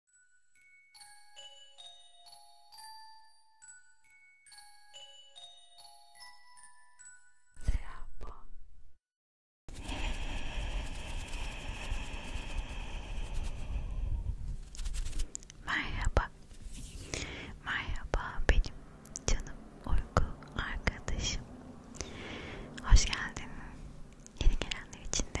Sıra bu. Merhaba. Merhaba benim canım uyku arkadaşım. Hoş geldin. Yeni gelenler için de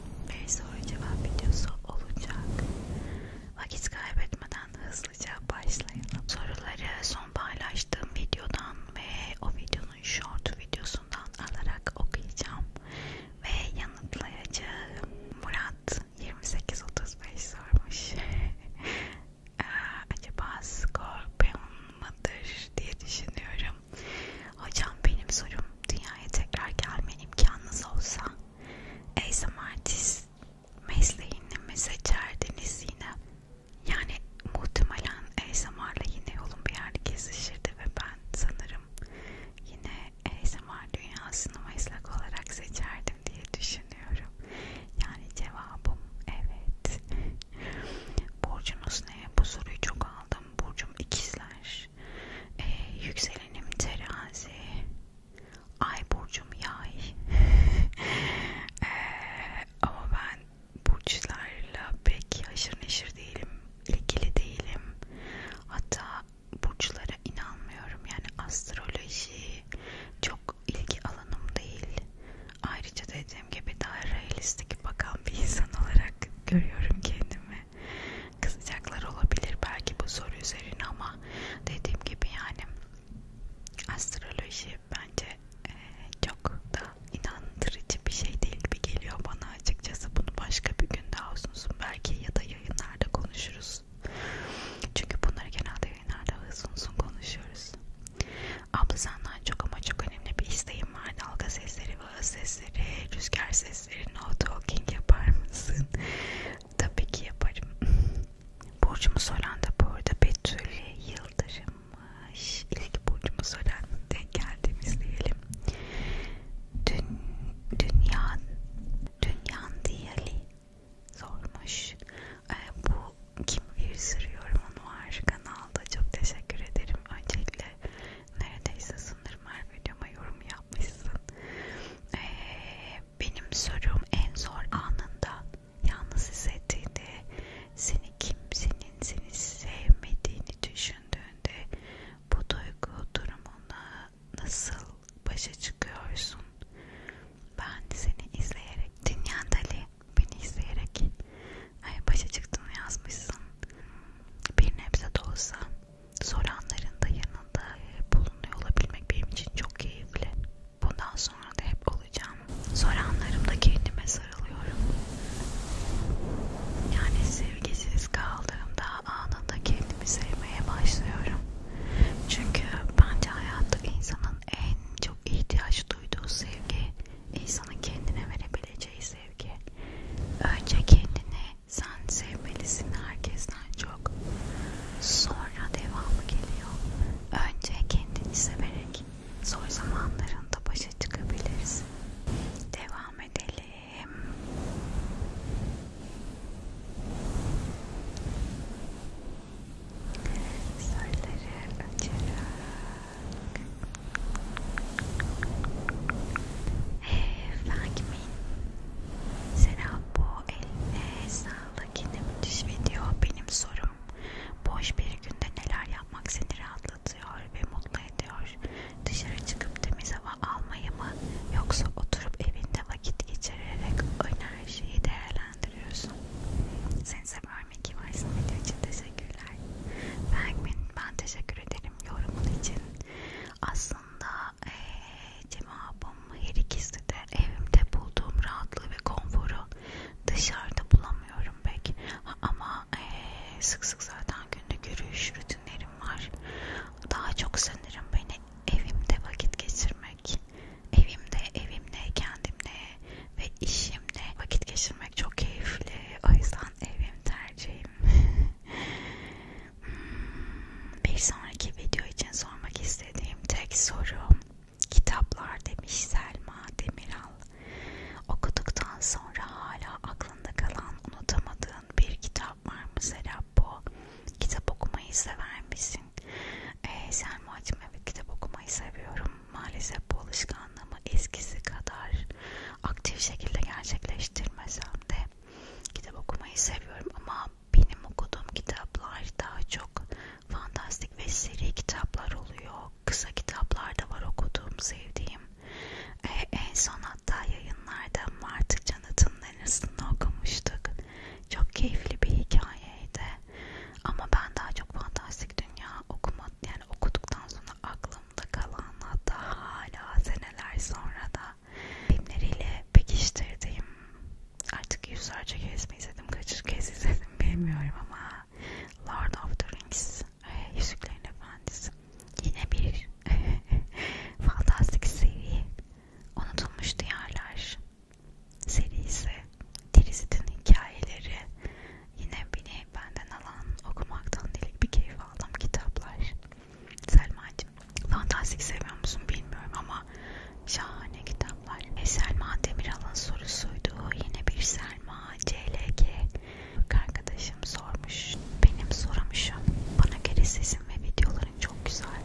bir soru cevap videosu olacak. Vakit kaybetmeden hızlıca başlayalım. Soruları son paylaştığım videodan ve o videonun short videosundan alarak okuyacağım ve yanıtlayacağım. Murat 28-35 sormuş. Ee, acaba Scorpion mıdır diye düşünüyorum. Hocam benim sorum dünyaya tekrar gelme imkanınız olsa ASM artist mesleğini mi seçerdiniz yine? Yani muhtemelen ASMR'la yine yolum bir yerde kesişirdi ve ben sanırım yine ASMR dünyasını meslek olarak seçerdim diye düşünüyorum. Yani cevabım evet. Burcunuz ne? Bu soruyu çok aldım. Burcum ikizler olabilir. E, ee, yükselenim terazi. Ay burcum yay. e, ama ben burçlarla pek haşır neşir değilim. ilgili değilim. Hatta burçlara inanmıyorum. Yani astroloji çok ilgi alanım değil. Ayrıca dediğim gibi daha realistik bakan bir insan olarak görüyorum kendimi kızacaklar olabilir belki bu soru üzerine ama dediğim gibi yani astroloji bence e, çok da inandırıcı bir şey değil gibi geliyor bana açıkçası bunu başka bir gün daha uzun belki ya da yayınlarda konuşuruz çünkü bunları genelde yayınlarda uzun uzun konuşuyoruz abla senden çok ama çok önemli bir isteğim var dalga sesleri hava sesleri, rüzgar sesleri, no talking yapar mısın? Tabii ki yaparım. Burcumu soran da bu arada Betül Yıldırımmış. İlk burcumu soran denk geldiğimiz diyelim. Dün, dünyan, dünyan diyali sormuş. Ee, bu kim bir sürü yorumun var kanalda. Çok teşekkür ederim. Öncelikle neredeyse sanırım her videoma yorum yapmışsın. Ee, benim sorum en zor anında yalnız hissettiğinde seni kimsenin seni sevmediğini düşündüğünde bu duygu durumuna nasıl başa çıkıyorsun? Ben seni izleyerek Dünyan Dali beni izleyerek ay başa çıktığını yazmışsın. Bir nebze de olsa soranların da yanında e, bulunuyor olabilmek benim için çok keyifli. Bundan sonra da hep olacağım. Soranlarımda kendime sarılıyorum. Yani sevgisiz kaldığımda anında kendimi sevmeye başlıyorum. Çünkü bence hayatta insanın en çok ihtiyaç duyduğu sevgi, insanın kendine verebileceği sevgi. Önce kendini sen sevmelisin herkesten çok. Sonra devamı geliyor. Önce kendini severek zor zamanlarında başa çıkabiliriz. Devam edelim. Sarıları açarak. Efendim. Serap bu eline sağlık yine müthiş video. Benim sorum boş bir günde neler yapmak seni rahatlatıyor ve mutlu ediyor? Dışarı çıkıp temiz hava almayı mı yoksa oturup evinde vakit geçirerek enerjiyi değerlendiriyorsun? Seni sever mi ki varsın video için teşekkürler. Ben, ben teşekkür ederim yorumun için. Aslında aslında e, cevabım her ikisi de evimde bulduğum rahatlığı ve konforu dışarıda bulamıyorum pek ama e, sık sık zaten günlük yürüyüş rutinlerim var daha çok sanırım beni evimde vakit geçirmek evimde evimle kendimle ve işimle vakit geçirmek çok keyifli o yüzden evim tercihim Hmm, bir sonraki video için sormak istediğim tek soru kitaplar demiş Selma Demiral. Okuduktan sonra hala aklında kalan unutamadığın bir kitap var mı Serap bu? Kitap okumayı sever misin? Ee, Selma'cığım evet kitap okumayı seviyorum. Maalesef bu alışkanlığımı eskisi kadar aktif şekilde gerçekleştirmesem de kitap okumayı seviyorum ama benim okuduğum kitaplar daha çok fantastik ve seri kitaplar oluyor. Kısa kitaplar da var okuduğum, sevdiğim. Ee, en son hatta yayınlarda Martı Canat'ın arasında okumuştuk. Çok keyifli bir hikayeydi. Ama ben daha çok fantastik dünya okuma, yani okuduktan sonra aklımda kalan hatta hala seneler sonra da filmleriyle pekiştirdiğim artık yüzlerce kez mi izledim kaç kez izledim bilmiyorum ama Lord of the Rings e, Yüzüklerin Efendisi yine bir fantastik seri Unutulmuş Diyarlar serisi Tirizit'in hikayeleri yine beni benden alan okumaktan delik bir keyif aldım kitaplar Selma'cığım fantastik seviyor musun bilmiyorum ama şahane kitaplar. E, Selma Demiral'ın sorusuydu. Yine bir Selma CLG arkadaşım sormuş. Benim sorum şu. Bana göre sesim ve videoların çok güzel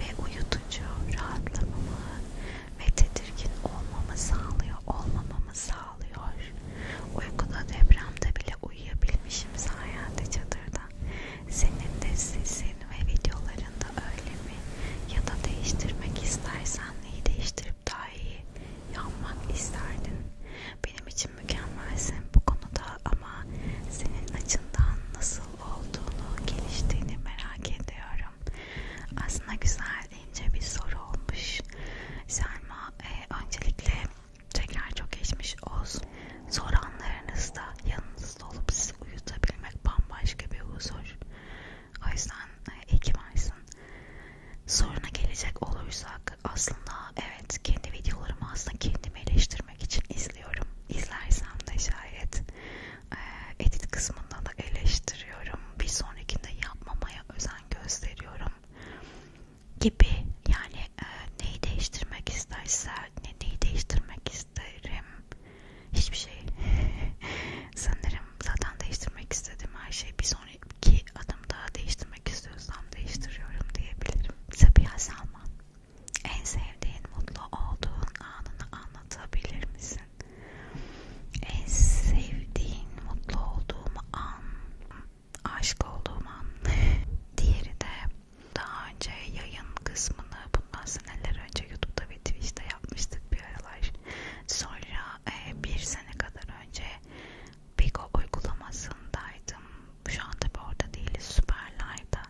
ve uyutucu, rahatlamamı ve tedirgin olmamı sağlıyor, olmamamı sağlıyor. Uykuda depremde bile uyuyabilmişim sayende çadırda. Senin de sesin ve videolarında öyle mi? Ya da değiştirmek istersen neyi değiştirip daha iyi yapmak isterdin? Benim için mükemmelsin bu konuda ama senin açından nasıl olduğunu, geliştiğini merak ediyorum. Aslında güzel ince bir soru olmuş. Selma, e, öncelikle Tekrar çok geçmiş olsun. Zor anlarınızda yanınızda olup sizi uyutabilmek bambaşka bir huzur. O yüzden e, iyi ki varsın. Soruna gelecek olursak aslında evet kendi videolarımı aslında kendimi eleştirmek için izliyorum. İzlersem de şayet e, edit kısmında da eleştiriyorum. Bir sonrakinde yapmamaya özen gösteriyorum gibi yani e, neyi değiştirmek isterse ne, neyi değiştirmek isterim hiçbir şey sanırım zaten değiştirmek istedim her şey bir sonraki adım daha değiştirmek istiyorsam değiştiriyorum diyebilirim Sabiha Salman en sevdiğin mutlu olduğun anını anlatabilir misin? En sevdiğin mutlu olduğum an aşık olduğum an. Diğeri de daha önce yayın kısmını bundan seneler önce YouTube'da ve Twitch'te yapmıştık bir aralar. Sonra e, bir sene kadar önce Bigo uygulamasındaydım. Şu an tabi orada değiliz. Süperlive'da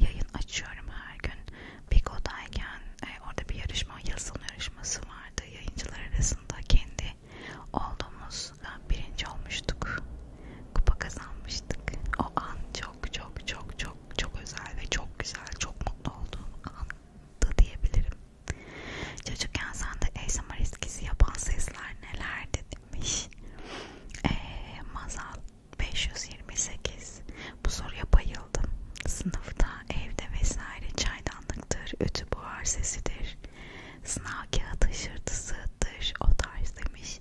yayın açıyorum her gün. Bigo'dayken e, orada bir yarışma, yazılım yarışması vardı. Yayıncılar arasında kendi olduğumuzda birinci olmuştuk. Kupa kazanmıştık. O an çok çok çok çok çok özel ve çok güzel, çok mutlu olduğum andı diyebilirim. Çocukken sende ASMR eskisi yapan sesler nelerdi demiş. Eee Mazal 528. Bu soruya bayıldım. Sınıfta, evde vesaire çaydanlıktır, ütü buhar sesidir sınav kağıt hışırtısıdır o tarz demiş.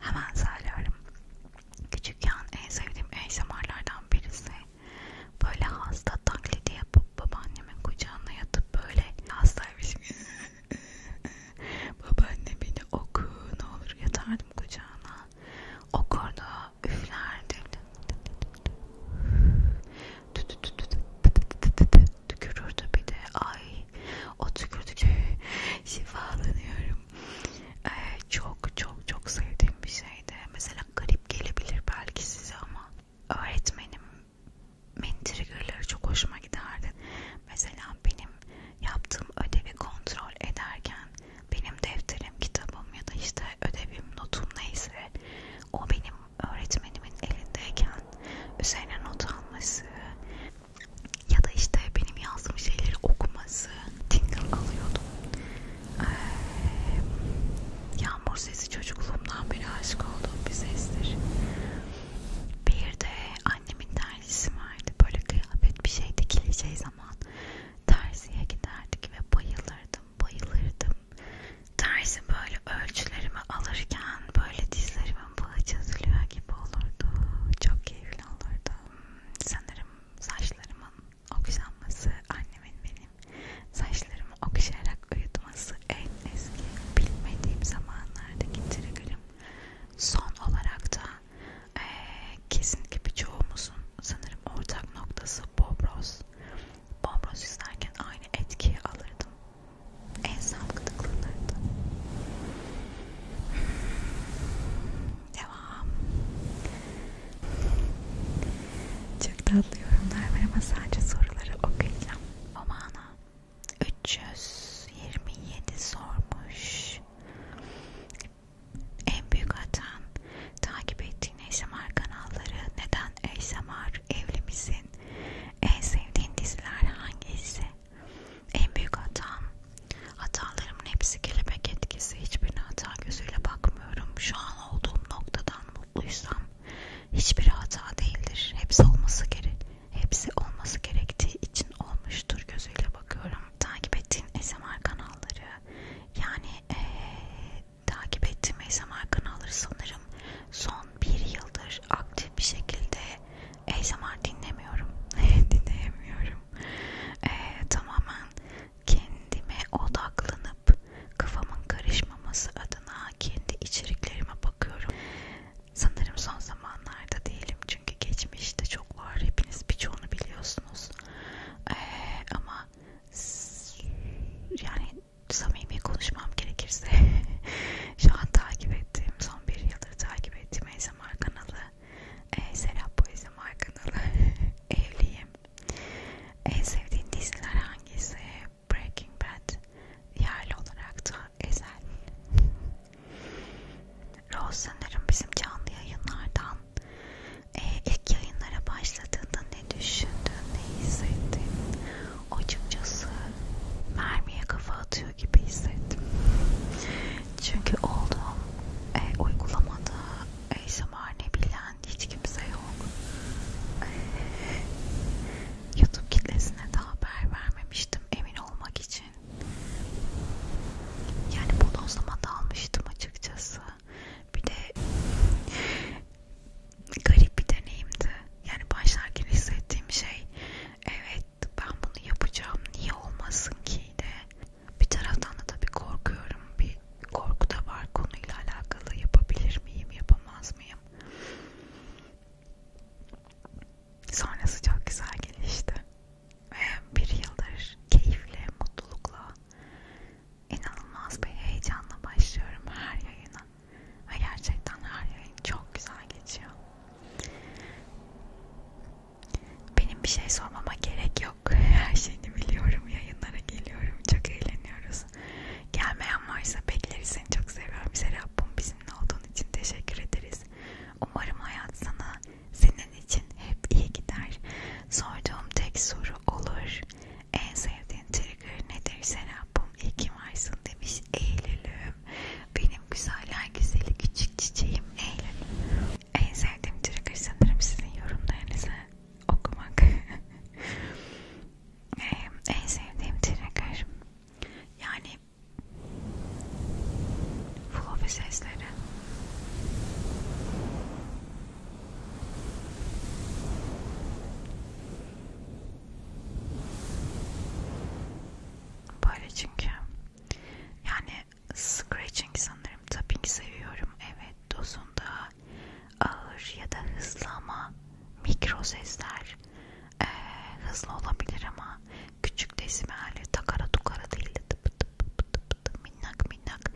Hemen söylerim. Küçükken en sevdiğim ASMR'lardan birisi. Böyle hasta taklidi yapıp babaannemin kucağına yatıp böyle hastaymışım. Babaanne beni oku ne olur yatardım kucağına. Okurdu, üflerdim tükürürdü bir de ay o tükürdükçe şifalanıyorum ee, çok çok çok sevdiğim bir şeydi mesela garip gelebilir belki size ama öğretmenim mentrigörleri çok hoşuma giderdi mesela benim yaptığım ödevi kontrol ederken benim defterim kitabım ya da işte ödevim notum neyse o benim öğretmenimin elindeyken üzerine not alması ya da işte benim yazdığım şeyleri okuması tingle alıyordum. Ee, yağmur sesi çocukluğumdan beri aşık olduğum bir sestir. Bir de annemin terzisi vardı. Böyle kıyafet bir şey dikileceği zaman terziye giderdik ve bayılırdım, bayılırdım. Terzi böyle ölçülerimi alırken böyle dizlerimi şampuanı çözülüyor gibi olurdu. Çok keyifli olurdu. Sanırım saçlarımın okşanması, annemin benim saçlarımı okşayarak uyutması en eski bilmediğim zamanlardaki triggerim. Son olarak da e, kesinlikle birçoğumuzun sanırım ortak noktası Bob Ross. Bob Ross izlerken aynı etkiyi alırdım. En sağlıklı gıdıklanırdı. Devam. Çok tatlı yorumlar var ama sadece soruları okuyacağım. Omana 327 sormuş. En büyük hatan takip ettiğin ASMR kanalları neden ASMR evli misin? En sevdiğin diziler hangisi? En büyük hatam, hatalarımın hepsi kelebek etkisi. Hiçbirine hata gözüyle bakmıyorum. Şu an olduğum noktadan mutluysam hiçbir hata değildir. Hepsi olması gerek, hepsi olması gerektiği için olmuştur gözüyle bakıyorum. Takip ettiğin SMR kanalları, yani ee, takip ettiğim SMR kanalları sanırım son bir yıldır aktif bir şekilde ASMR dinlemiyorum. Dinleyemiyorum. Ee, tamamen kendime odaklanıp kafamın karışmaması adına kendi içeriklerime bakıyorum. Sanırım son zamanlarda değilim çünkü geçmişte çok var. Hepiniz birçoğunu biliyorsunuz. Ee, ama yani samimi konuşmam gerekirse şu an takip ettiğim, son bir yıldır takip ettiğim ASMR kanalı e, Serap ASMR kanalı evliyim. En sevdiğin diziler hangisi? Breaking Bad yerli olarak da Ezel. Rose sanırım bizim canlı yayınlardan e, ilk yayınlara başladığında ne düşündün, ne hissettin? Açıkçası mermiye kafa atıyor çalışıyor gibi hissettim. Çünkü olduğum e, uygulamada ASMR ne bilen hiç kimse yok. E, YouTube kitlesine de haber vermemiştim emin olmak için. Yani bodozlama dalmıştım açıkçası. Bir de garip bir deneyimdi. Yani başlarken hissettiğim şey evet ben bunu yapacağım niye olmasın ki de bir taraftan da tabii korkuyorum bir korku da var konuyla alakalı yapabilir miyim yapamaz mıyım sonrası çok güzel gelişti ve bir yıldır keyifle mutlulukla inanılmaz bir heyecanla başlıyorum her yayına ve gerçekten her yayın çok güzel geçiyor. Benim bir şey sormama gerek yok. Her şeyini biliyorum. Yayınlara geliyorum. Çok eğleniyoruz. Gelmeyen varsa bekleriz. Seni çok seviyorum. Serap'ım bizimle olduğun için teşekkür ederiz. Umarım hayat sana senin için hep iyi gider. Sorduğum tek soru olur. En sevdiğin trigger nedir Serap'ım? İyi ki varsın demiş Eylül'ü gülüm, benim güzeller güzeli küçük çiçeğim Eylül. En sevdiğim trigger sanırım sizin yorumlarınızı okumak. en sevdiğim trigger yani fluffy sesleri. Böyle çünkü yani scratching sanırım tapping seviyorum evet dozunda ağır ya da hızlı ama mikro sesler ee, hızlı olabilir ama küçük desibelle takara tukara değil de tıp tıp tıp tıp tıp minnak minnak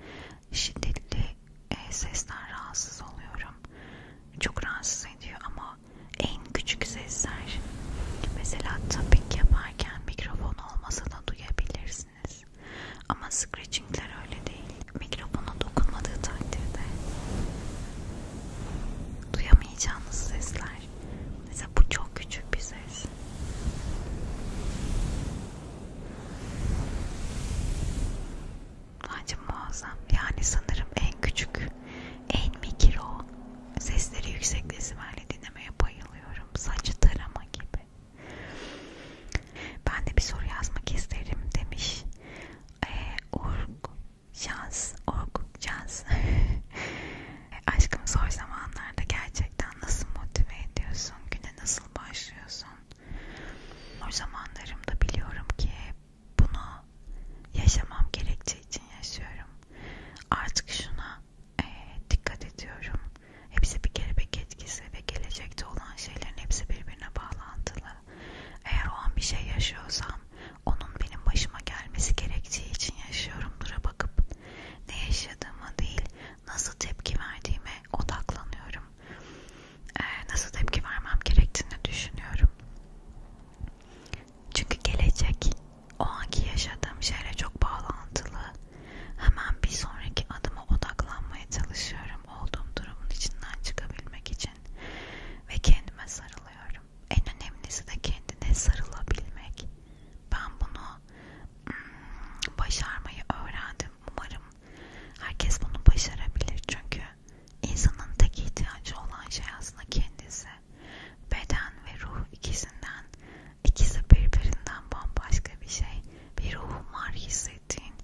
şiddetli e, sesten rahatsız oluyorum çok rahatsız ediyor ama en küçük sesler mesela tapping yaparken mikrofon olmasa da duyabilirsiniz ama scratchingler öyle değil mikrofona dokunmadığı takdirde duyamayacağınız sesler mesela bu çok küçük bir ses bence muazzam yani sanırım en küçük Enmikir o. Sesleri yüksek desimalle dinlemeye bayılıyorum. Saçı tarama gibi. Ben de bir soru yazmak isterim demiş. Ee, org, şans, org, şans. Aşkım zor zamanlarda gerçekten nasıl motive ediyorsun? Güne nasıl başlıyorsun? O zamanlarımda biliyorum ki bunu yaşamam gerektiği için yaşıyorum. Artık şuna e, dikkat ediyorum. Hepsi bir kelebek etkisi ve gelecekte olan şeylerin hepsi birbirine bağlantılı. Eğer o an bir şey yaşıyorsam onun benim başıma gelmesi gerektiği için yaşıyorum. Dura bakıp ne yaşadığıma değil nasıl tepki verdiğime odaklanıyorum. E, nasıl tepki vermem gerektiğini düşünüyorum. Çünkü gelecek o anki yaşadığım şeyle çok bağlantılı. Hemen bir sonraki adıma odaklanmaya çalışıyorum olduğum durumun içinden çıkabilmek için ve kendime sarılıyorum. En önemlisi de kendine sarılabilmek. Ben bunu hmm, başarmayı öğrendim. Umarım herkes bunu başarabilir çünkü insanın tek ihtiyacı olan şey aslında kendisi. Beden ve ruh ikisinden, ikisi birbirinden bambaşka bir şey. Bir ruhum var hissettiğin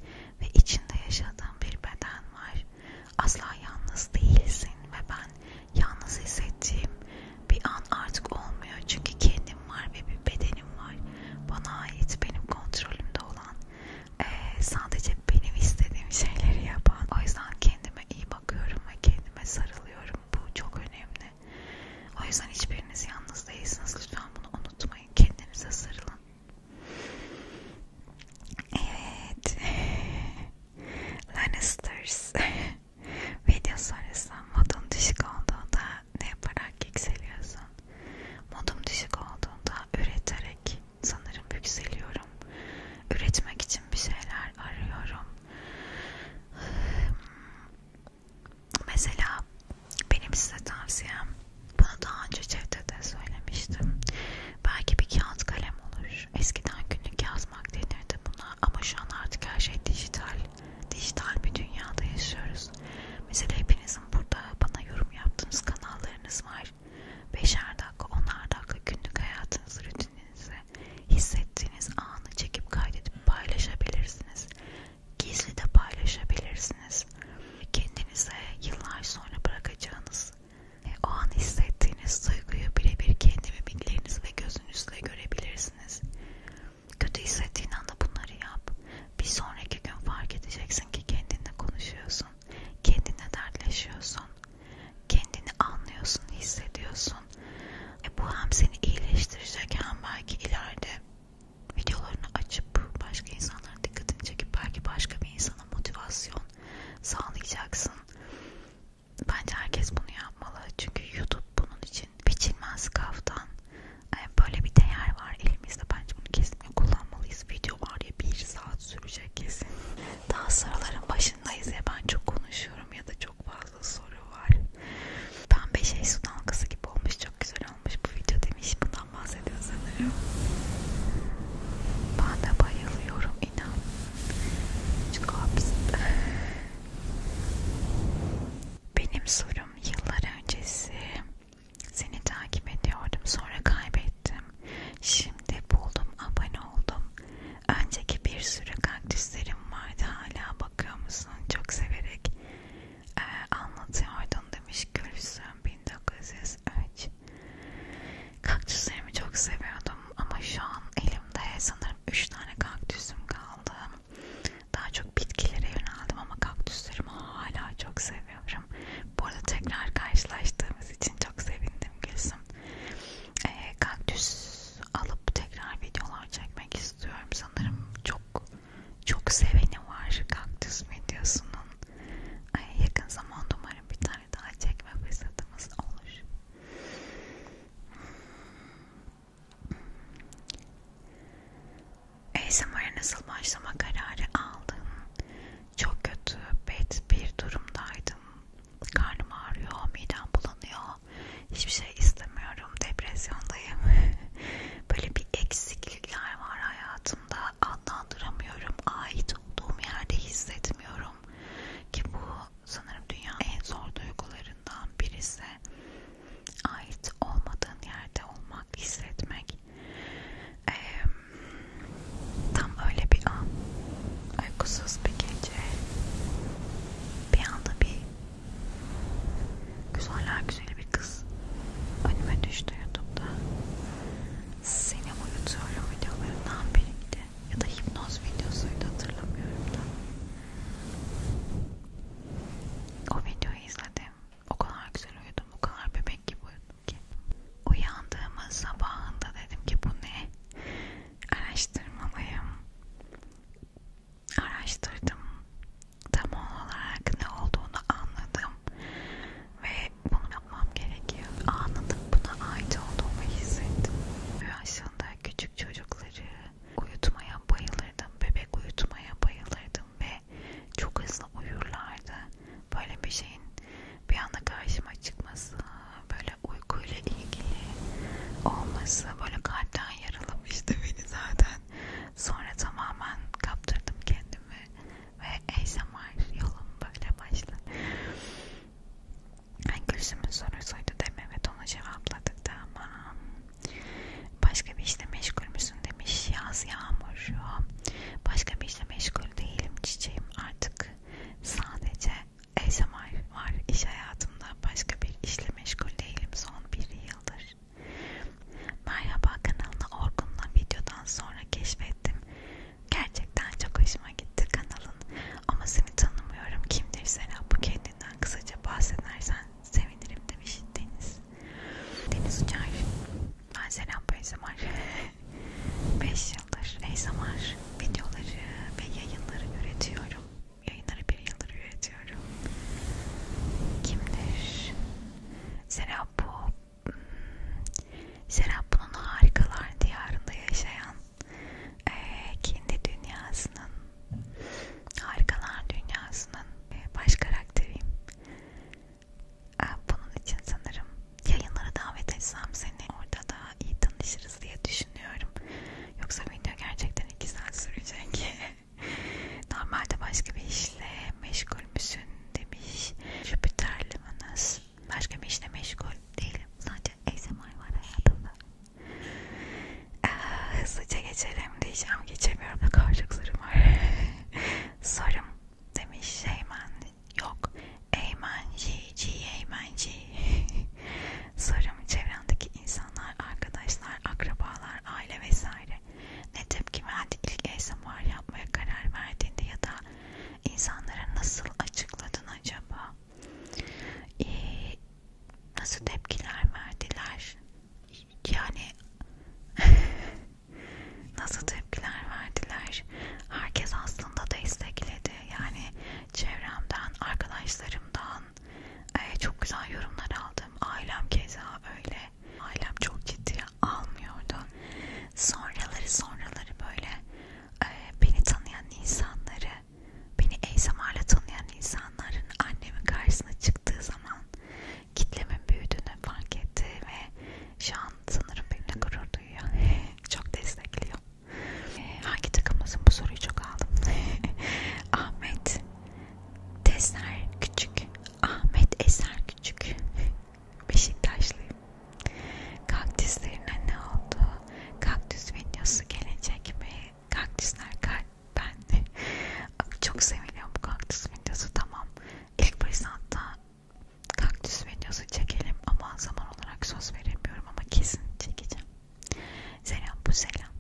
ve içinde yaşadığın bir beden var. Asla yalnız değilsin ve ben yalnız hissettiğim bir an artık olmuyor. Çünkü kendim var ve bir bedenim var. Bana ait benim kontrolümde olan. Ee, sadece benim istediğim şeyleri yapan o yüzden kendimi kendime iyi bakıyorum ve kendime sarılıyorum. Bu çok önemli. O yüzden hiçbiriniz yalnız değilsiniz. Lütfen bunu unutmayın. Kendinize sarılın. Evet. Lannisters. Video sonrası modun düşük olduğunda ne yaparak yükseliyorsun? Modum düşük olduğunda üreterek sanırım yükseliyorum. Üretmek için bir şeyler arıyorum. Mesela benim size tavsiyem, bunu daha önce Cevdet'e söylemiştim. Belki bir kağıt kalem olur. Eskiden günlük yazmak denirdi buna ama şu an artık her şey dijital. Dijital bir dünyada yaşıyoruz. Mesela hepinizin burada bana yorum yaptığınız kanallarınız var kadar beşer dakika onar dakika günlük hayatınızı rutininizi hissettiğiniz anı çekip kaydedip paylaşabilirsiniz. Gizli de paylaşabilirsiniz. Kendinize yıllar sonra bırakacağınız o an hissettiğiniz duyguyu birebir kendi mimikleriniz ve gözünüzle görebilirsiniz. Kötü hissettiğin anda bunları yap. Bir sonraki gün fark edeceksin ki kendinle konuşuyorsun kendine dertleşiyorsun, kendini anlıyorsun, hissediyorsun. E bu hem seni iyileştirecek hem belki ileride videolarını açıp başka insanların dikkatini çekip belki başka bir insana motivasyon sağlayacaksın. Bence herkes bunu yapmalı çünkü YouTube bunun için biçilmez kaftan. E, böyle bir değer var elimizde bence bunu kesinlikle kullanmalıyız. Video var ya bir saat sürecek kesin. Daha soruların başındayız ya ben çok konuşuyorum ya da çok fazla soru var. Pembe şey su dalgası gibi olmuş çok güzel olmuş bu video demiş bundan bahsediyor sanırım. Ben de bayılıyorum inan. Çünkü hapiste. Benim sorum yıllar öncesi seni takip ediyordum sonra kaybettim. Şimdi buldum abone oldum. Önceki bir sürü kaktüslerim vardı hala bakıyor musun? Çok severek ee, anlatıyordun demiş Gülsüm 1903. Kaktüslerimi çok seviyordum ama şu an elimde sanırım 3 tane kaktüsüm kaldı. Daha çok bitkilere yöneldim ama kaktüslerimi hala çok seviyorum. Bu arada tekrar karşılaştığımız için çok sevindim Gülsüm e, kaktüs alıp tekrar videolar çekmek istiyorum. Sanırım çok çok seveni var kaktüs videosunun. Ay, yakın zamanda umarım bir tane daha çekme fırsatımız olur. Hmm. ASMR'a nasıl başlama kararı aldın? Çok kötü, bet bir durumdaydım. Karnım ağrıyor, midem bulanıyor. Hiçbir şey istemiyorum, depresyondayım. Böyle bir eksiklikler var hayatımda. Adlandıramıyorum, ait olduğum yerde hissetmiyorum. Ki bu sanırım dünyanın en zor duygularından birisi. Ait olmadığın yerde olmak, hissetmek. Ee, Tam öyle bir an, uykusuz bir gece, bir anda bir güzeller güzeli bir kız önüme düştü YouTube'da. Seni uyutuyorum videolarından biriydi ya da hipnoz videosuydu hatırlamıyorum da. O videoyu izledim. O kadar güzel uyudum, o kadar bebek gibi uyudum ki. Uyandığımız sabahında dedim ki bu ne? Araştırmalıyım. Araştırdım. Tam olarak ne olduğunu anladım. Ve bunu yapmam gerekiyor. Anladım buna ait olduğumu hissettim. Aslında küçük çocukları uyutmaya bayılırdım. Bebek uyutmaya bayılırdım ve çok hızlı uyurlardı. Böyle bir şeyin bir anda karşıma çıkması, böyle uykuyla ilgili olması böyle kalpten yaralamıştı beni zaten. Sonra tamamen kaptırdım kendimi ve ASMR yolum böyle başladı. Yani Gülsüm'ün sorusuydu değil mi? Evet ona cevapladık da ama başka bir işle meşgul müsün demiş yaz yağmur. Başka bir işle meşgul değilim çiçeğim artık Sadece ASMR var iş hayatımda. Başka bir işle meşgul değilim son bir yıldır. Merhaba kanalını Orkun'la videodan sonra keşfettim. Gerçekten çok hoşuma gitti kanalın. Ama seni tanımıyorum. Kimdir Serap? Bu kendinden kısaca bahsedersen sevinirim demiş Deniz. Deniz Uçar. Ben Serap ASMR. 5 yıldır ASMR videoları ve yayınları üretiyorum. Yayınları bir yıldır üretiyorum. Kimdir? Serap bu. Serap bunun harikalar diyarında yaşayan e, kendi dünyasının harikalar dünyasının baş karakteriyim. Bunun için sanırım yayınlara davet etsem seni orada da iyi tanışırız diye düşünüyorum. Yoksa video gerçekten iki saat sürecek. Normalde başka bir işle meşgul müsün demiş Jüpiter Limanız. Başka bir işle meşgul değilim. Sadece ASMR var hayatımda. Ee, hızlıca geçelim diyeceğim. Geçemiyorum da karşılık sorum var. sorum demiş Şeyman Yok. Eymenci, ci eymenci. Sorum çevrendeki insanlar, arkadaşlar, akrabalar, aile vesaire. Ne tepki verdi ilk ASMR yapmaya karar verdiğinde ya da insanlara nasıl açıkladın acaba? Ee, nasıl tepkiler verdiler? Yani nasıl tepkiler verdiler? var. Herkes aslında destekledi. Yani çevremden, arkadaşlarımdan e, çok güzel yorumlar aldım. Ailem keza öyle. Ailem çok ciddiye almıyordu. Sonraları sonraları böyle e, beni tanıyan insanları, beni ASMR'la tanıyan insanların annemin karşısına çıktığı zaman kitlemin büyüdüğünü fark etti ve şu an sanırım benimle gurur duyuyor. çok destekliyor. E, hangi takımımızın bu soruyu çok aldım. Ahmet Tesner Küçük. Ahmet Eser Küçük. Beşiktaşlıyım. Kaktüslerine ne oldu? Kaktüs videosu gelecek mi? Kaktüsler ben çok seviliyorum bu kaktüs videosu tamam. İlk fırsatta kaktüs videosu çekelim ama zaman olarak söz veremiyorum ama kesin çekeceğim. Selam bu selam.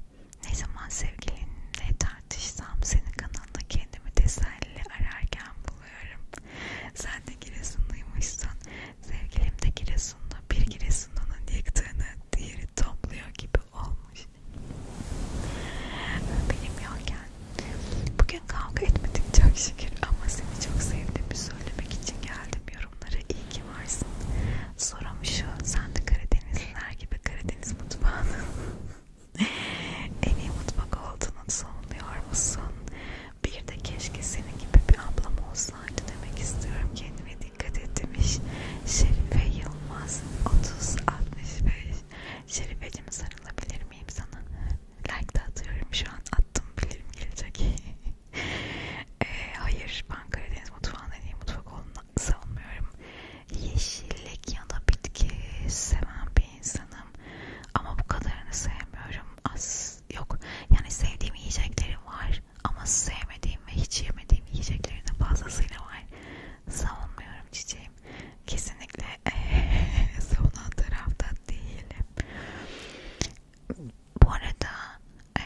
Ne zaman sevgilinle tartışsam senin kanalında kendimi teselli ararken buluyorum. Sen de Giresunluymuşsun. Sevgilim de Giresunlu. Bir Giresunlu'nun yıktığını diğeri topluyor gibi olmuş. Benim yokken bugün kavga etmedik çok şükür ama seni çok sevdim söylemek için geldim yorumlara iyi ki varsın sorum şu sen de Karadenizliler gibi Karadeniz mutfağının en iyi mutfak olduğunu savunuyor musun? Bir de keşke senin gibi bir ablam olsaydı demek istiyorum kendime dikkat et demiş Şerife Yılmaz 30-65 Şerifeciğim sarılabilir miyim sana? like de atıyorum şu an attım bilirim gelecek e, hayır ben Karadeniz mutfağından iyi mutfak olduğunu savunmuyorum yeşillik ya da bitki seven bir insanım ama bu kadarını sevmiyorum az yok yani sevdiğim yiyeceklerim var ama sevmediğim ve hiç yemediğim yiyeceklerin de fazlasıyla var savunmuyorum çiçeğim kesinlikle savunan tarafta değilim bu arada e,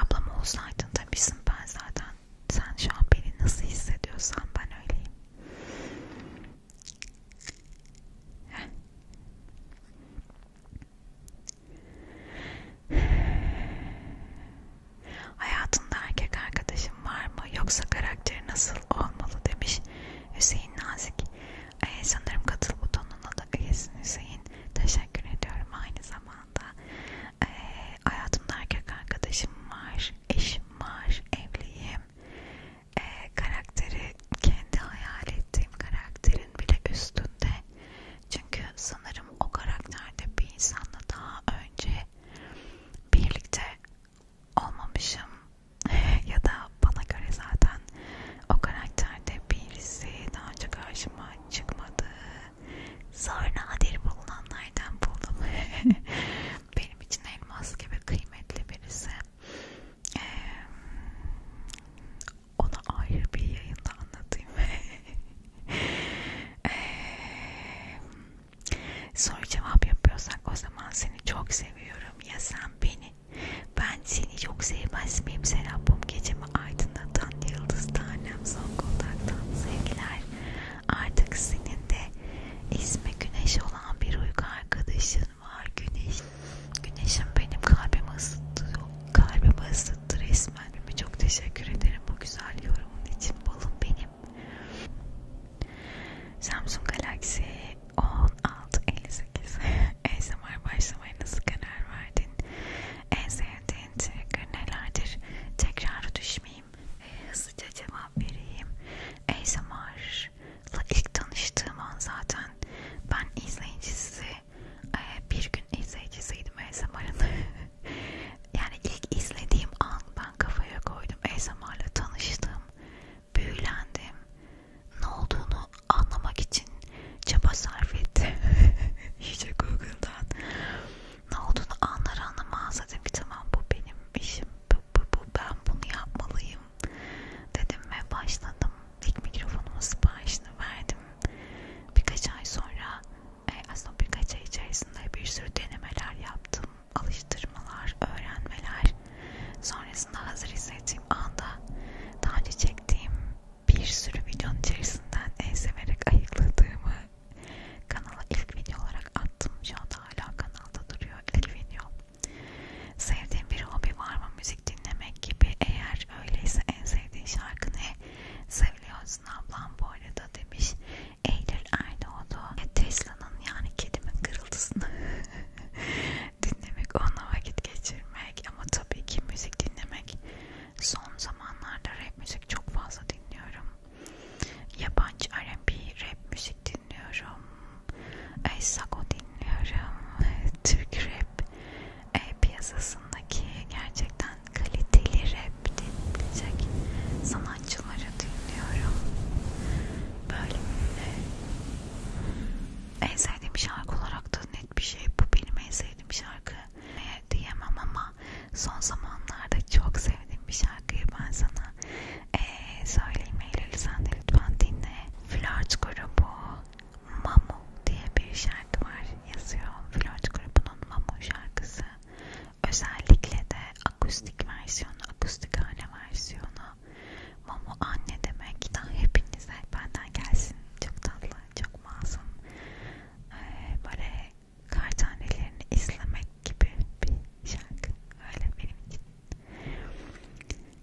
ablam olsaydın tabisin ben zaten sen şu an beni nasıl hissediyorsan ben öyleyim. Heh. Hayatında erkek arkadaşın var mı yoksa karakteri nasıl olmalı demiş. Hüseyin Nazik ee, sanırım katıl butonuna da üyesin Hüseyin teşekkür ediyorum aynı zamanda ee, hayatımda erkek arkadaşım var eşim var evliyim ee, karakteri kendi hayal ettiğim karakterin bile üstünde çünkü sanırım o karakterde bir insanla daha önce birlikte olmamışım ya da bana göre zaten o karakterde birisi daha önce karşıma çıkmadı. Zor nadir bulunanlardan buldum. Benim için elmas gibi kıymetli birisi. Ee, onu ayrı bir yayında anlatayım. ee, soru cevap yapıyorsak o zaman seni çok seviyorum tanrım ya sen beni. Ben seni çok sevmez miyim Serap'ım gecemi aydınlatan yıldız tanem son kontaktan sevgiler. Artık senin de ismi güneş olan bir uyku arkadaşın var güneş. Güneşim benim kalbimi ısıttı, kalbimi ısıttı resmen. Çok teşekkür ederim bu güzel yorumun için balım benim. Samsung Galaxy 16.58 ASMR başlamaya nasıl karar verdin? En sevdiğin trigger nelerdir? Tekrar düşmeyeyim ve hızlıca cevap vereyim. ASMR'la ilk tanıştığım an zaten ben izleyicisi, e, bir gün izleyicisiydim ASMR'ın. yani ilk izlediğim an ben kafaya koydum ASMR'la tanıştım büyülendim. Ne olduğunu anlamak için çaba sarf etti. İyice Google'dan. Ne olduğunu anlar anlamaz dedim ki tamam bu benim işim. Bu, bu, bu, ben bunu yapmalıyım dedim ve başladım. İlk mikrofonumun siparişini verdim. Birkaç ay sonra e, aslında birkaç ay içerisinde bir sürü denemeler yaptım alıştırmalar, öğrenmeler sonrasında hazır hissettiğim anda daha önce çektiğim bir sürü videonun içerisinden en severek ayıkladığımı kanala ilk video olarak attım. Şu anda hala kanalda duruyor ilk video. Sevdiğim bir hobi var mı? Müzik dinlemek gibi. Eğer öyleyse en sevdiğin şarkı ne? Seviyorsun ablam bu arada demiş. Eylül Erdoğdu. Tesla'nın yani kedimin kırıltısını dinlemek, onunla vakit geçirmek ama tabii ki müzik dinlemek. Son zamanlarda rap müzik çok fazla dinliyorum. Yabancı R&B rap müzik dinliyorum. E, Sago dinliyorum. Türk rap e, piyasasındaki gerçekten kaliteli rap dinleyecek sanatçıları dinliyorum. Böyle en sevdiğim şarkı olarak da net bir şey bu benim en sevdiğim şarkı ne diyemem ama son zamanlarda çok sevdiğim bir şarkıyı ben sana ee, söyleyeyim Eylül sen de lütfen dinle. Flört grubu Mamu diye bir şarkı var yazıyor. Flört grubunun Mamu şarkısı. Özellikle de akustik versiyonu, akustik hale versiyonu Mamu anne demek da hepinize benden gelsin. Çok tatlı, çok masum. Ee, böyle kar tanelerini izlemek gibi bir şarkı. Öyle benim için.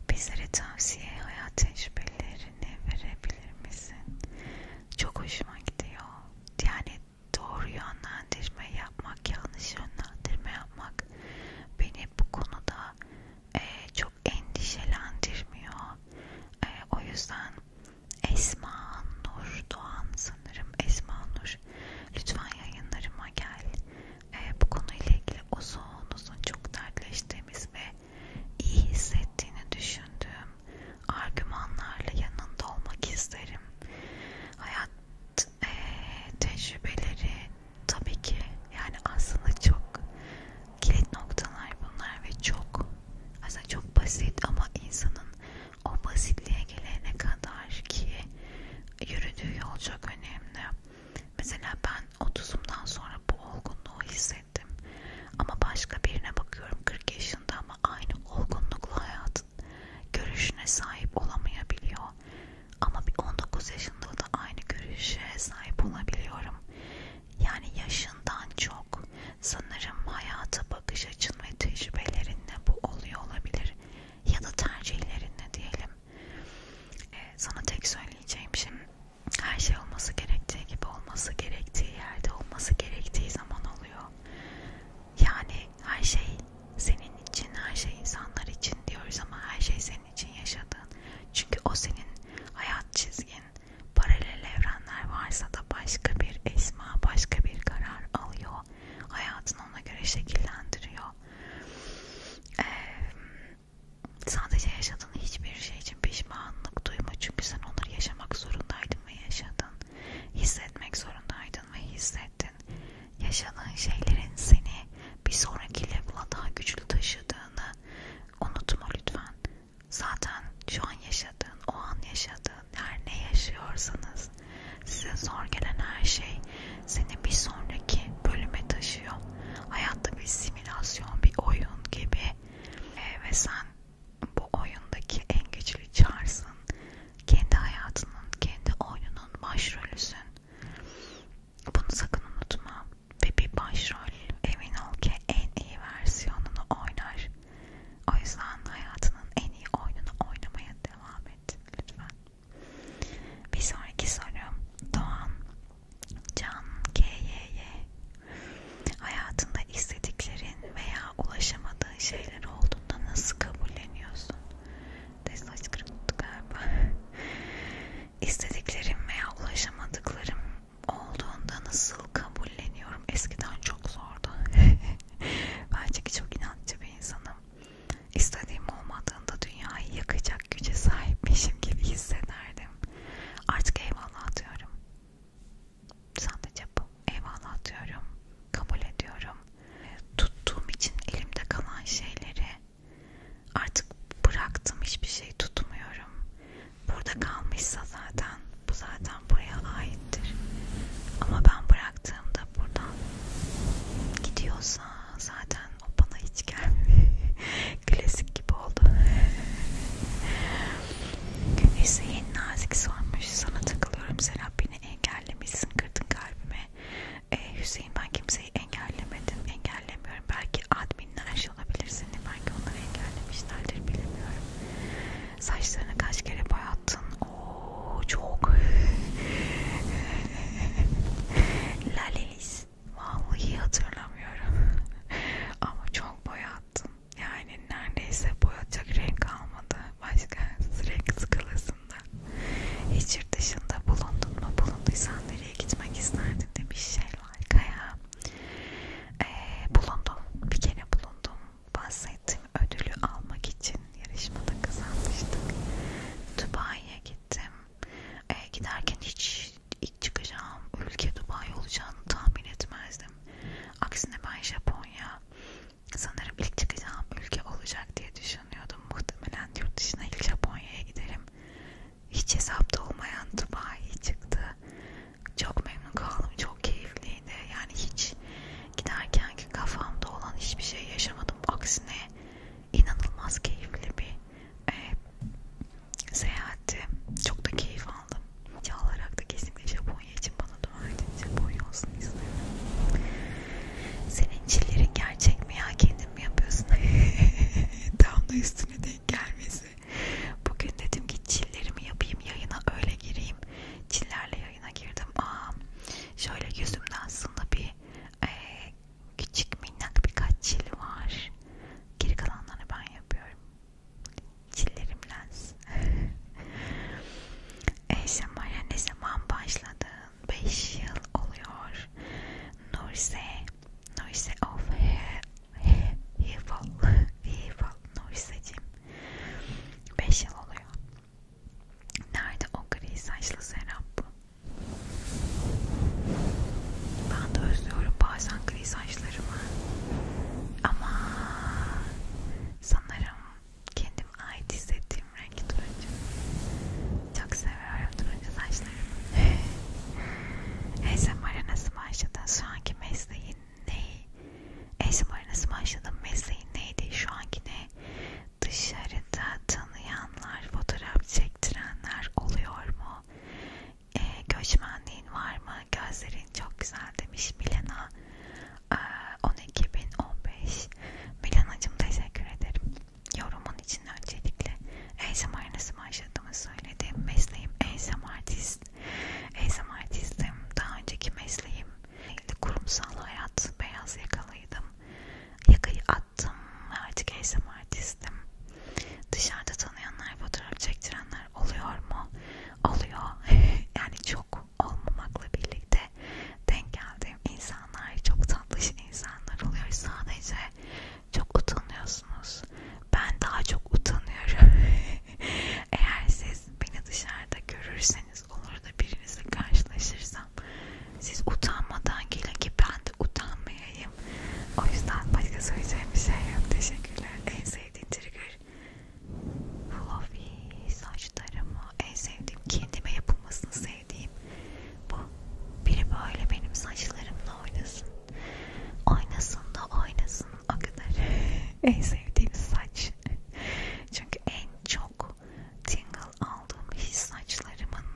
Bizlere tavsiye hayat tecrübelerini verebilir misin? Çok hoşuma gidiyor. Yani doğru yönlendirme yapmak, yanlış yönlendirme yapmak beni bu konuda e, çok endişelendirmiyor. E, o yüzden Esma Nur Doğan sanırım Esma Nur lütfen yayınlarıma gel. E, bu konuyla ilgili uzun uzun çok dertleştiğimiz ve iyi hissettiğini düşündüğüm argümanlarla yanında olmak isterim. Hayat e, tecrübeleri tabii ki yani aslında çok kilit noktalar bunlar ve çok aslında çok basit ama insanın o basitliğe gelene kadar ki yürüdüğü yol çok önemli. Mesela ben 30'umdan sonra bu olgunluğu hissettim. Ama başka birine bakıyorum 40 yaşında ama aynı olgunlukla hayatın görüşüne sahip olamayabiliyor. Ama bir 19 yaşında da aynı görüşe sahip olabiliyorum. Yani yaşından çok sanırım hayata bakış açın ve tecrübelerinle bu oluyor olabilir. Ya da tercihlerinle diyelim. Ee, sana tek söyleyeceğim şimdi şey, her şey olması gerektiği gibi olması gerektiği yerde olması gerektiği zaman oluyor. Yani her şey senin için, her şey insanlar için diyoruz ama her şey senin senin için yaşadığın. Çünkü o senin hayat çizgin. Paralel evrenler varsa da başka bir esma, başka bir karar alıyor. Hayatını ona göre şekillendiriyor. Ee, sadece yaşadığın hiçbir şey için pişmanlık duyma. Çünkü sen onları yaşamak zorundaydın ve yaşadın. Hissetmek zorundaydın ve hissettin şeylerin, yaşadığın şeylerin seni bir sonraki level'a daha güçlü taşıdığını unutma lütfen. Zaten şu an yaşadığın, o an yaşadığın her ne yaşıyorsanız size zor gelen her şey seni bir sonraki bölüme taşıyor. Hayatta bir simülasyon, bir oyun gibi ee, ve sen bu oyundaki en güçlü çarsın. Kendi hayatının, kendi oyunun başrolüsün. Bunu sakın unutma ve bir başrol emin ol ki en iyi versiyonunu oynar. O yüzden hayatının en iyi oyununu oynamaya devam et lütfen. Bir sonraki sorum Doğan Can KYY Hayatında istediklerin veya ulaşamadığın şeyler olduğunda nasıl kabulleniyorsun? de saç kırıktı galiba. İstediklerim veya ulaşamadıklarım olduğunda nasıl kabulleniyorum? Eskiden çok zordu. ben çünkü çok inatçı bir insanım. İstediğim olmadığında dünyayı yakacak güce sahipmişim gibi hissederdim. Artık eyvallah diyorum. Sadece bu. Eyvallah diyorum. Kabul ediyorum. Tuttuğum için elimde kalan şeyleri Artık bıraktım hiçbir şey tutmuyorum. Burada kalmışsa zaten bu zaten buraya aittir. Ama ben bıraktığımda buradan gidiyorsa zaten o bana hiç gelmiyor. Klasik gibi oldu. Neyse yeni nazik sormuş. Sana takılıyorum Serap beni engellemişsin kırdın kalbime. Ee, Hüseyin ben kimseyi engellemedim, engellemiyorum. Belki adminler şey olabilir seni, belki onları engellemişlerdir bilmiyorum. Saçlarını kaç kere boyattın? Oo çok. Lalelis. Vallahi hatırlamıyorum. Ama çok boyattın. Yani neredeyse boyatacak renk kalmadı. Başka renk skalası aslında. Hiç yurt dışında bulundun mu? Bulunduysan nereye gitmek isterdin demiş Şelval Kaya. Ee, bulundum. Bir kere bulundum. Bahsettiğim ödülü almak için yarışmada kazanmıştık. Dubai'ye gittim. Ee, giderken hiç ilk çıkacağım ülke Dubai olacağını tahmin etmezdim. Aksine ben Japonya sanırım ilk çıkacağım ülke olacak diye düşündüm yaşanıyordu. Muhtemelen yurt dışına ilk Japonya'ya giderim. Hiç hesapta olmayan Dubai çıktı. Çok memnun kaldım. Çok keyifliydi. Yani hiç giderken ki kafamda olan hiçbir şey yaşamadım. Aksine inanılmaz keyifli bir e, seyahatti. Çok da keyif aldım. Çağlarak da kesinlikle Japonya için bana dua edin. Japonya olsun istedim. Senin çillerin gerçek mi ya? Kendin kendin mi yapıyorsun? Tam da üstüne denk gelmesi. Bugün dedim ki çillerimi yapayım yayına öyle gireyim. Çillerle yayına girdim. Aa, şöyle yüzümde aslında bir e, küçük minnak birkaç çil var. Geri kalanlarını ben yapıyorum. Çillerim lens. e, şamaya ne zaman başladı? 5 yıl oluyor. Nurse, Nurse of Evil, Evil Nurse'cim 5 yıl oluyor. Nerede o gri saçlı Serap? Ben de özlüyorum bazen gri saçlarımı. Ama sanırım kendimi ait hissettiğim sevdiğim renk turuncu. Çok seviyorum turuncu saçlarımı. ASMR'a nasıl başladın? Şu anki mesleğin ne? ASMR'a nasıl başladın? Mesleğin neydi? Şu anki ne? Dışarıda tanıyanlar, fotoğraf çektirenler oluyor mu? E, göçmenliğin var mı? Gözlerin çok güzel demiş Milena. E, 12.015 Milanacım teşekkür ederim yorumun için öncelikle ASMR nasıl başladığımı söyledim. Mesleğim ASMR artist. ASMR artistim. Daha önceki mesleğim kurumsal hayat, beyaz yakalıydım. Yakayı attım ve artık ASMR artistim. Dışarıda tanıyanlar, fotoğraf çektirenler oluyor mu? Oluyor. yani çok olmamakla birlikte denk geldi sevim insanlar, çok tatlış insanlar oluyor. Sadece çok utanıyorsunuz. Ben daha çok utanıyorum. Eğer siz beni dışarıda görürseniz, olur da birinizle karşılaşırsam, siz utanmadan gelin ki ben de utanmayayım. O yüzden başka söyleyeceğim bir şey yok. Teşekkürler. En sevdiğin trigger fluffy saçlarımı en sevdiğim kendime yapılmasını sevdiğim sevdiğim bu. Biri böyle benim saçlarımla oynasın. Oynasın da oynasın o kadar. en sevdiğim saç. Çünkü en çok tingle aldığım his saçlarımın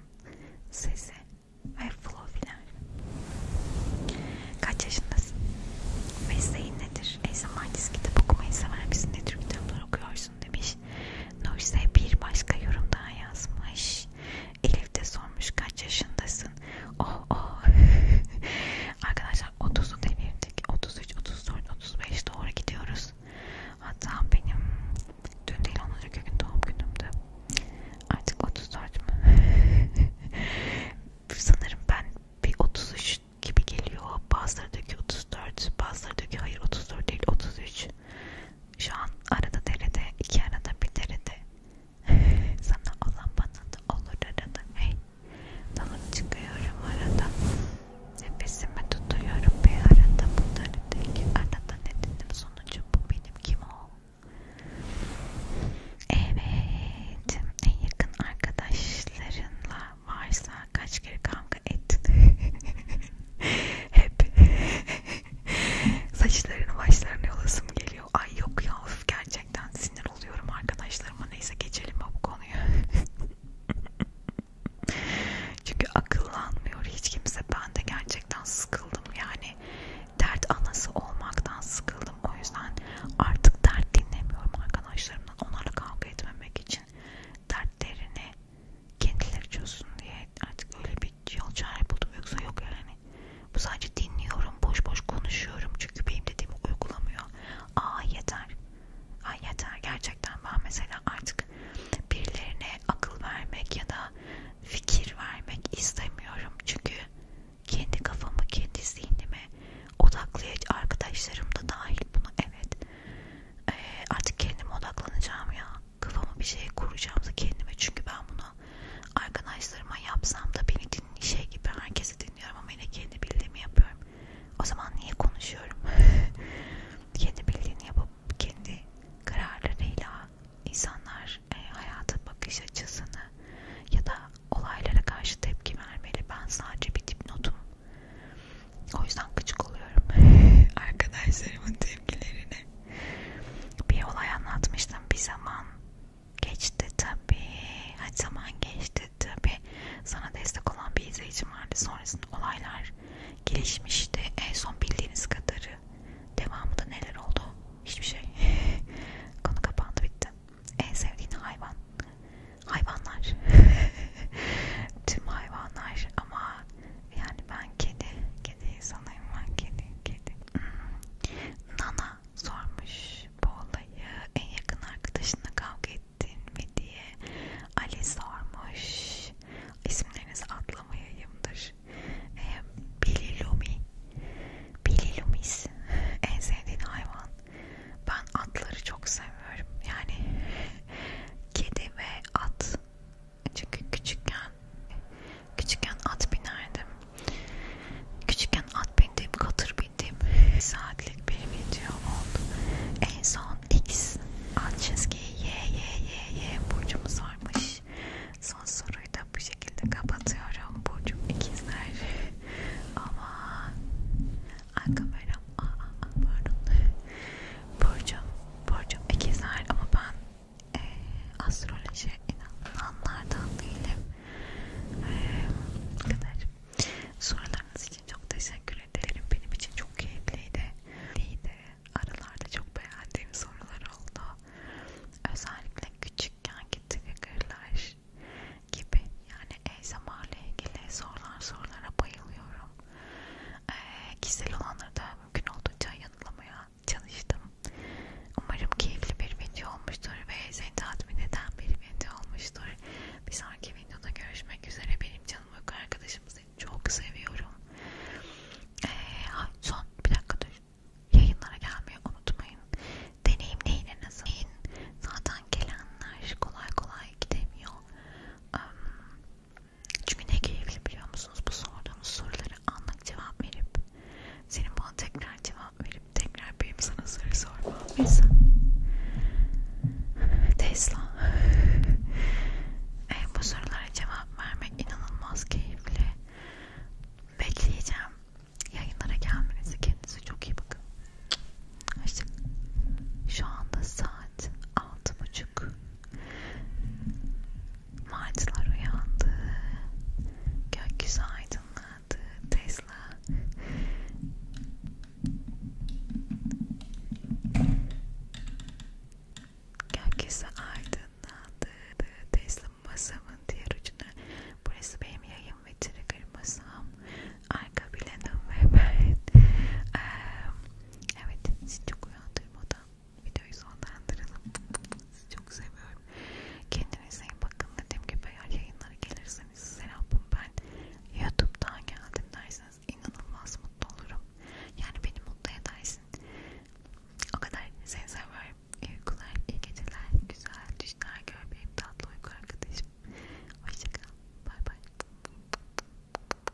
sesi ve flow'lar. Kaç yaşındasın? Mesleğin nedir? E zaman kitabı okumayı sever misin? Ne tür kitaplar okuyorsun? musun demiş. Nurse bir başka yorum daha yazmış. Elif de sormuş kaç yaşındasın? Oh oh. Arkadaşlar 30'u devirdik. 33, 34, 35 doğru gidiyoruz. Hatta benim dün değil onuncu gün doğum günümdü. Artık 34 mü? Sanırım ben bir 33 gibi geliyor. Bazıları diyor ki 34, bazıları diyor ki hayır 34 değil 33. Şu an arada derede, iki arada bir derede. Sana olan bana da olur arada. Hey, dalıp çıkıyorum arada. Nefesimi tutuyorum bir arada. Bunları değil arada ne dedim sonucu bu benim kim o? Evet, en yakın arkadaşlarınla varsa kaç kere kan kavga et. Hep saçlarını başlarını yolasım geliyor. Ay yok ya of, gerçekten sinir oluyorum arkadaşlarıma. Neyse geçelim bu konuyu. Çünkü akıllanmıyor hiç kimse. Ben de gerçekten sıkıldım yani. Dert anası olmaktan sıkıldım. O yüzden artık dert dinlemiyorum arkadaşlarımdan. Onlarla kavga etmemek için dertlerini kendileri çözsün diye artık öyle bir yol çare buldum yoksa yok yani bu sadece dinliyorum boş boş konuşuyorum çünkü benim dediğimi uygulamıyor aa yeter ay yeter gerçekten ben mesela artık birilerine akıl vermek ya da fikir vermek istemiyorum çünkü kendi kafamı kendi zihnimi odaklayıcı arkadaşlarım da dahil buna evet ee, artık kendime odaklanacağım ya kafama bir şey kuracağımsa kendime çünkü ben bunu arkadaşlarıma yapsam da beni dinli şey gibi herkesi dinliyorum ama yine kendi bildiğimi yapıyorum. O zaman niye konuşuyorum? kendi bildiğini yapıp kendi kararlarıyla insanlar e, hayata bakış açısını ya da olaylara karşı tepki vermeli. Ben sadece bir dipnotum. O yüzden gıcık oluyorum arkadaşlarımın tepkilerine. Bir olay anlatmıştım bir zaman. Geçti tabii. Kaç zaman geçti tabii. Sana destek olan bir izleyicim vardı. Sonrasında olaylar gelişmişti. En son bildiğiniz kadarı. Devamında neler oldu? Hiçbir şey. Konu kapandı bitti. En sevdiğin hayvan. Hayvanlar. Tüm hayvanlar ama yani ben kedi, kedi insanıyım ben kedi, kedi. Hmm. Nana sormuş bu olayı en yakın arkadaşınla kavga ettin mi diye. Ali sormuş. İsimlerinizi atlamayayımdır. Ee, Bililumi. Bililumis. En sevdiğin hayvan. Ben atları çok seviyorum. Yani kedi ve at çünkü küçükken küçükken at binerdim. Küçükken at bindim, katır bindim. Bir saatlik bir video oldu. En son X alt çizgi Y Y Y Y burcumu sormuş. Son soruyu da bu şekilde kapatıyorum. Burcum ikizler. Ama arka kameram aa, aa pardon. Burcum, burcum ikizler ama ben e, astroloji inananlardan değilim. E, kadar. Sorularınız için çok teşekkür ederim. Benim için çok keyifliydi. Neydi? Aralarda çok beğendiğim sorular oldu. Özellikle küçükken triggerlar gibi yani ASMR ile ilgili sorular sorulara bayılıyorum. E, kişisel olanları da mümkün olduğunca yanılamaya çalıştım. Umarım keyifli bir video olmuştur ve seni tatmin eden bir video olmuştur. Bir sonraki videoda görüşmek üzere. Benim canım uyku arkadaşım seni çok seviyorum. Ee, son bir dakika dur. Yayınlara gelmeyi unutmayın. Deneyimleyin en azından. Zaten gelenler kolay kolay gidemiyor. Um, çünkü ne keyifli biliyor musunuz bu sorduğumuz soruları anlık cevap verip senin bana tekrar cevap verip tekrar benim sana soru sormam mesela Tesla e, bu sorulara cevap vermek inanılmaz keyifli bekleyeceğim yayınlara gelmenizi kendinize çok iyi bakın Hoşçakalın. Şu anda saat altı buçuk. Martılar uyandı. Gökyüzü aydınladı. Tesla. Gökyüzü aydınlandı. Tesla'nın masamın diğer ucuna. Burası benim yayın ve trigger masam. Arka planım ve ben. Ee, evet sizi çok uyandırmadan videoyu sonlandıralım. Sizi çok seviyorum. Kendinize iyi bakın. Dediğim gibi eğer yayınlara gelirseniz Serap'ım ben YouTube'dan geldim derseniz inanılmaz mutlu olurum. Yani beni mutlu edersin. O kadar seni seviyorum. İyi uykular, iyi geceler, güzel düşler gör benim tatlı uyku arkadaşım. Hoşçakal. Bay bay.